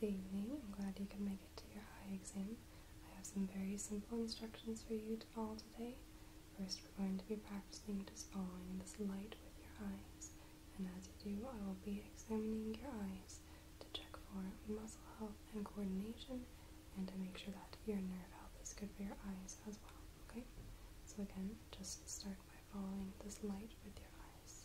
Good evening. I'm glad you could make it to your eye exam. I have some very simple instructions for you to follow today. First, we're going to be practicing just following this light with your eyes. And as you do, I will be examining your eyes to check for muscle health and coordination and to make sure that your nerve health is good for your eyes as well, okay? So again, just start by following this light with your eyes.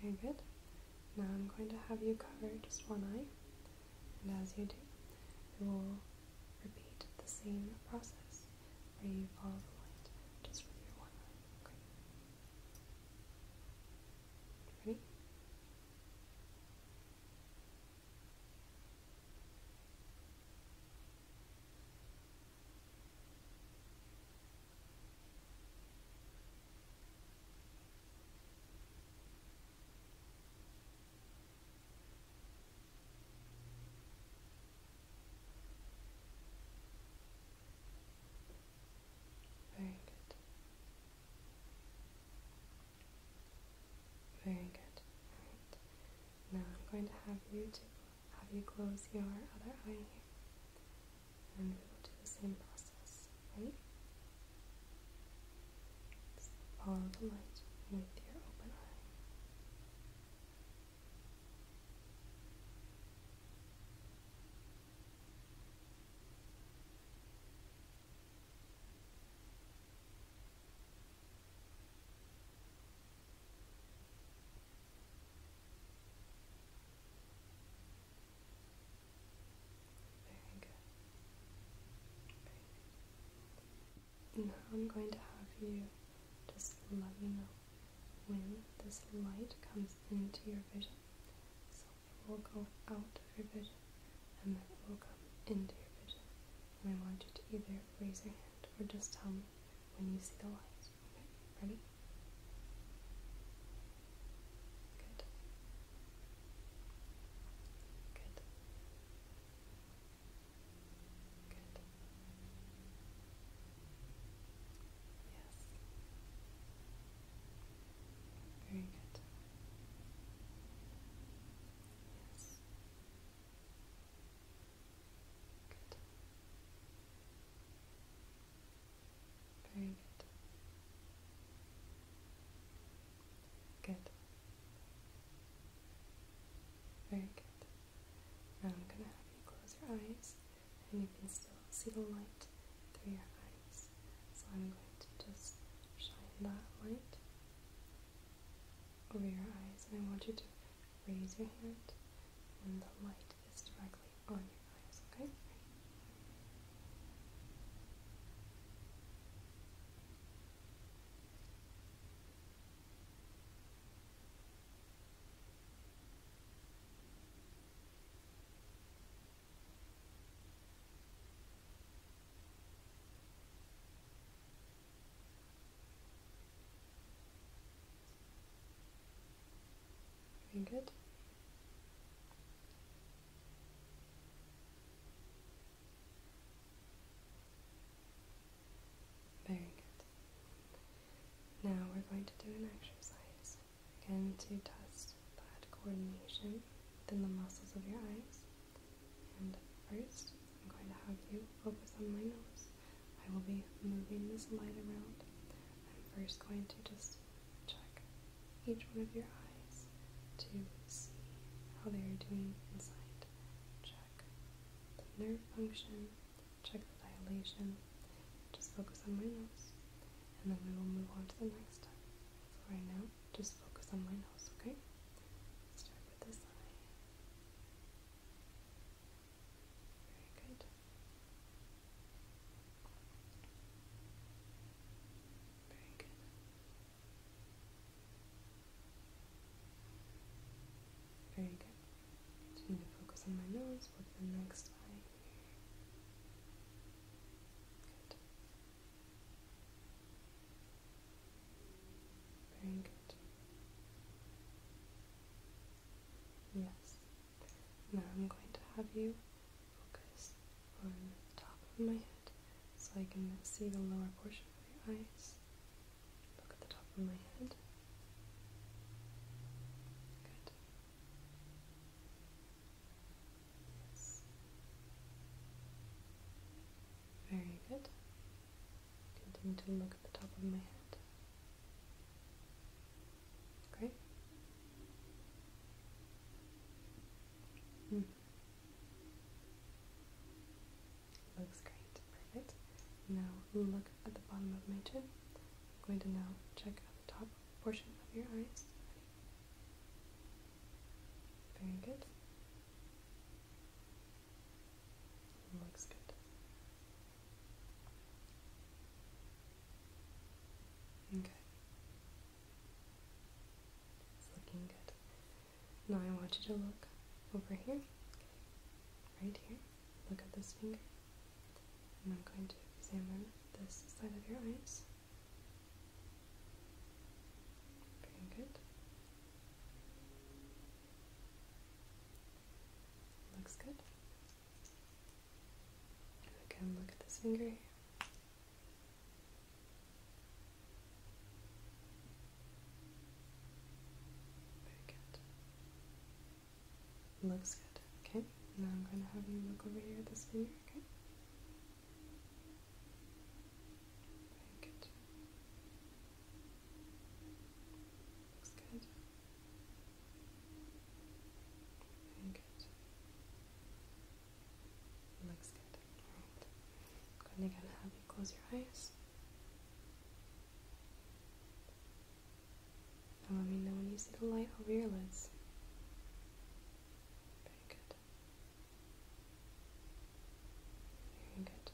Very good. Now I'm going to have you cover just one eye and as you do, you will repeat the same process where you follow the light just with your one eye. Ready? Very good. Very good. Now I'm going to have you to have you close your other eye and we will do the same process right? follow the light with your open eye. Very good. Now I'm going to have you just let me know when this light comes into your vision. So it will go out of your vision and then it will come into your vision. And I want you to either raise your hand or just tell me when you see the light. Okay, ready? Good. Good. Good. Yes. Very good. Yes. Good. Very good. Good. Very good. Now I'm going to have you close your eyes and you can still see the light through your eyes. So I'm going to just shine that light over your eyes and I want you to raise your hand when the light is directly on your eyes, okay? good. Very good. Now we're going to do an exercise. Again, to test that coordination within the muscles of your eyes. And first, I'm going to have you focus on my nose. I will be moving this light around. I'm first going to just check each one of your eyes to see how they are doing inside. Check the nerve function, check the dilation. Just focus on my nose, and then we will move on to the next step. right now, just focus on my nose, okay? Start with this eye. Very good. Very good. Very good. need to focus on my nose, look the next eye. Very good. Yes, now I'm going to have you focus on the top of my head so I can see the lower portion of your eyes. Look at the top of my head. Good. Very good. Continue to look at the top of my head. Great. Hmm. Looks great. Perfect. Now look at the bottom of my chin. I'm going to now check out the top portion of your eyes. Very good. Looks good. Okay. looking good. Now I want you to look over here. Right here. Look at this finger. I'm going to examine this side of your eyes. Very good. Looks good. Again, look at this finger Very good. Looks good. Okay, now I'm going to have you look over here at this finger, okay? Very good. Looks good good. Looks good. Alright. I'm going to have you close your eyes. And let me know when you see the light over your lids. Very good. Very good.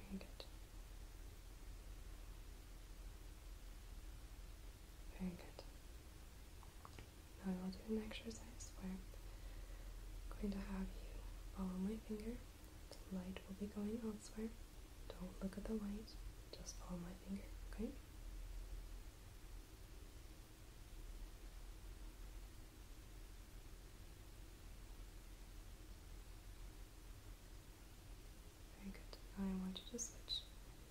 Very good. Very good. Now I will do an exercise where I'm going to have you follow my finger. The light will be going elsewhere. Don't look at the light, just follow my finger, okay? Very good. I want you to switch.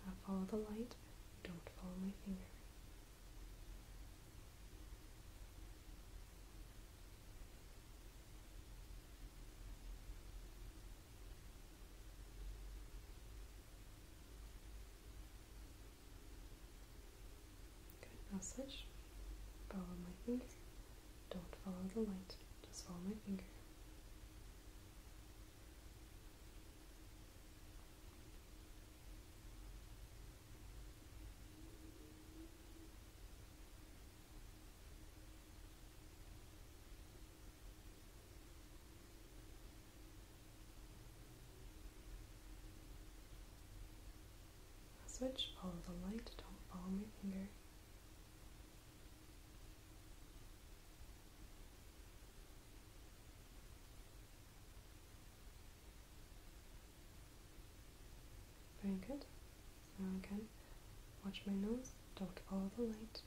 Now follow the light. Don't follow my finger. Good. Now Follow my finger. Don't follow the light, just follow my finger. Switch, follow the light, don't follow my finger. Very good. So again, watch my nose, don't follow the light.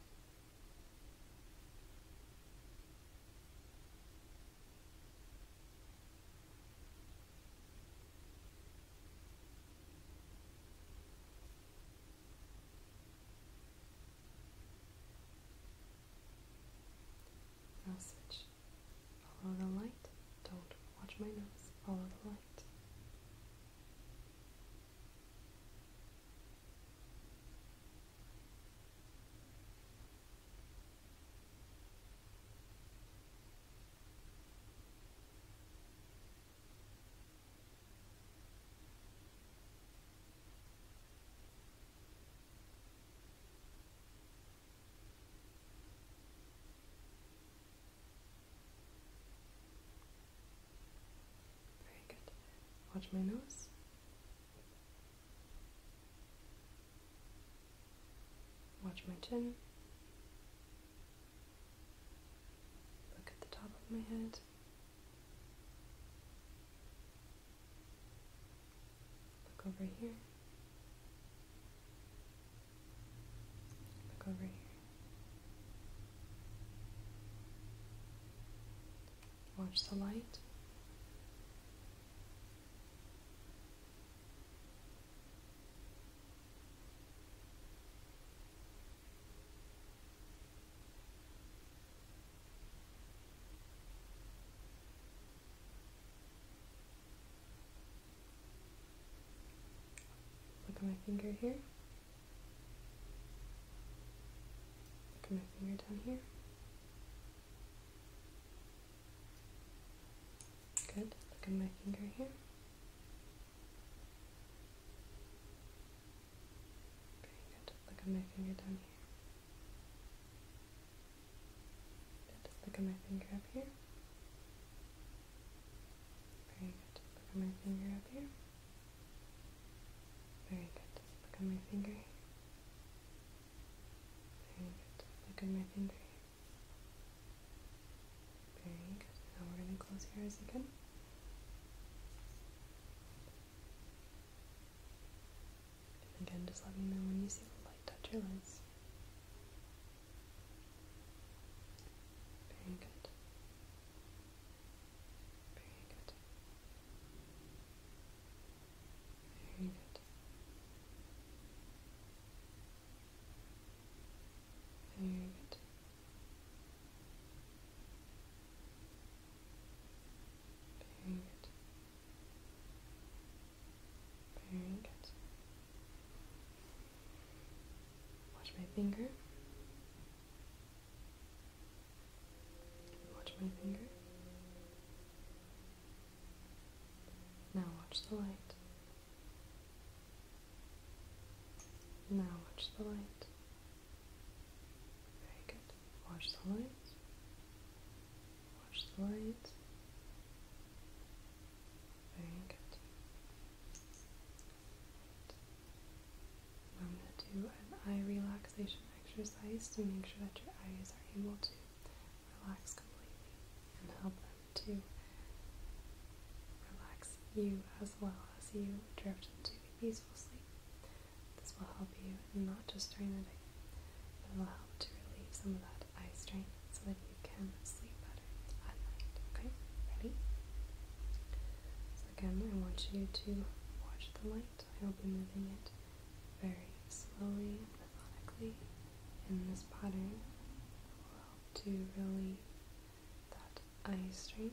Now Follow the light. Don't watch my nose. Follow the light. Very good. Watch my nose. Watch my chin. Look at the top of my head. Look over here. Look over here. Watch the light. Look at my finger here. Look at my finger down here. Good. Look at my finger here. Okay, good. Just look at my finger down here. Good. Just look at my finger up here. Very good. Just look at my finger up here. Very good. Just look at my finger here. Very good. Just look at my finger here. Very good. Now we're going to close your eyes again. And again, just let me know when you see the light touch your lids. Very good. Very good. Very good. Good. Very good. Very good. Watch my finger. Watch my finger. Now watch the light. Now watch the light. Very good. Watch the light. Watch the light. Very good. I'm going to do an eye relaxation exercise to make sure that your eyes are able to relax completely and help them to relax you as well as you drift into a peaceful sleep. This will help you not just during the day, but it will help to relieve some of that eye strain so that you can sleep better at night. Okay, ready? So, again, I want you to watch the light. I will be moving it very slowly and methodically in this pattern to really that eye straight.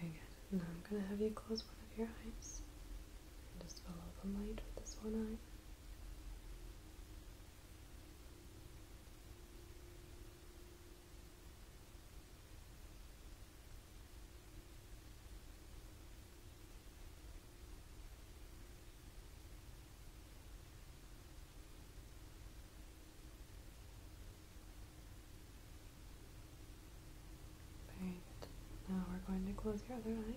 Very good. I'm going to have you close one of your eyes and just follow the light with this one eye. Very Now we're going to close your other eye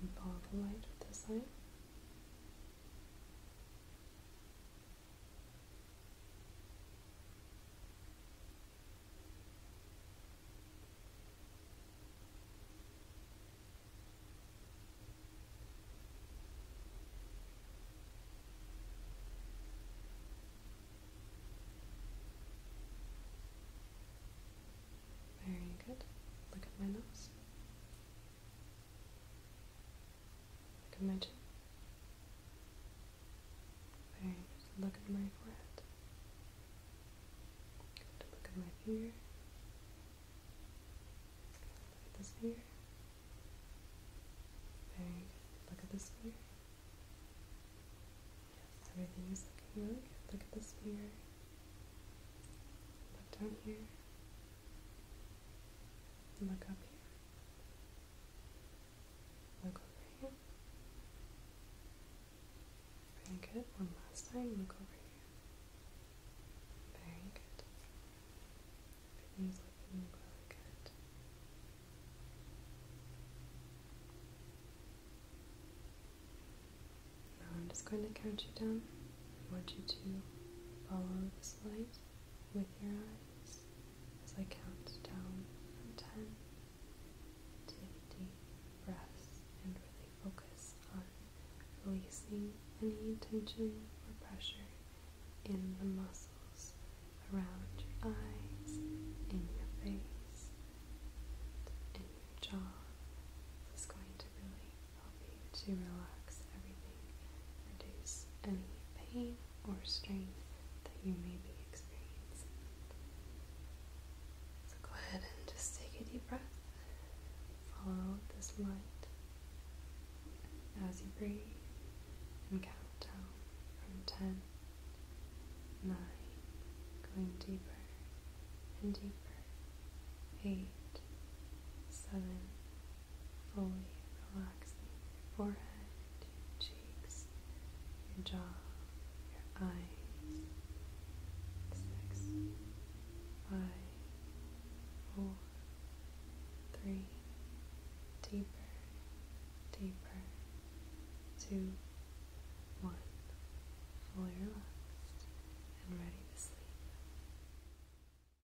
and follow the light with this eye. Very good. Look at my nose. Can imagine. Very just look at my forehead. Good. Look at my finger. Look at this finger. Very good. Look at this finger. Yes, everything is looking really good. Look at this finger. Look down here. Look up here. Look over here. Very good. One last time. Look over here. Very good. Everything's looking really good. Now I'm just going to count you down. I want you to follow this light with your eyes as I count down from 10. Take deep breaths and really focus on releasing any tension or pressure in the muscles around your eyes, in your face, and your jaw. This is going to really help you to relax everything reduce any pain or strain that you may be experiencing. So go ahead and just take a deep breath. Follow this light as you breathe and count down from 10, 9, going deeper and deeper, 8, 7, fully relaxing your forehead, your cheeks, your jaw, your eyes. Six, five, four, three, deeper, deeper, two, one, fully relaxed and ready to sleep.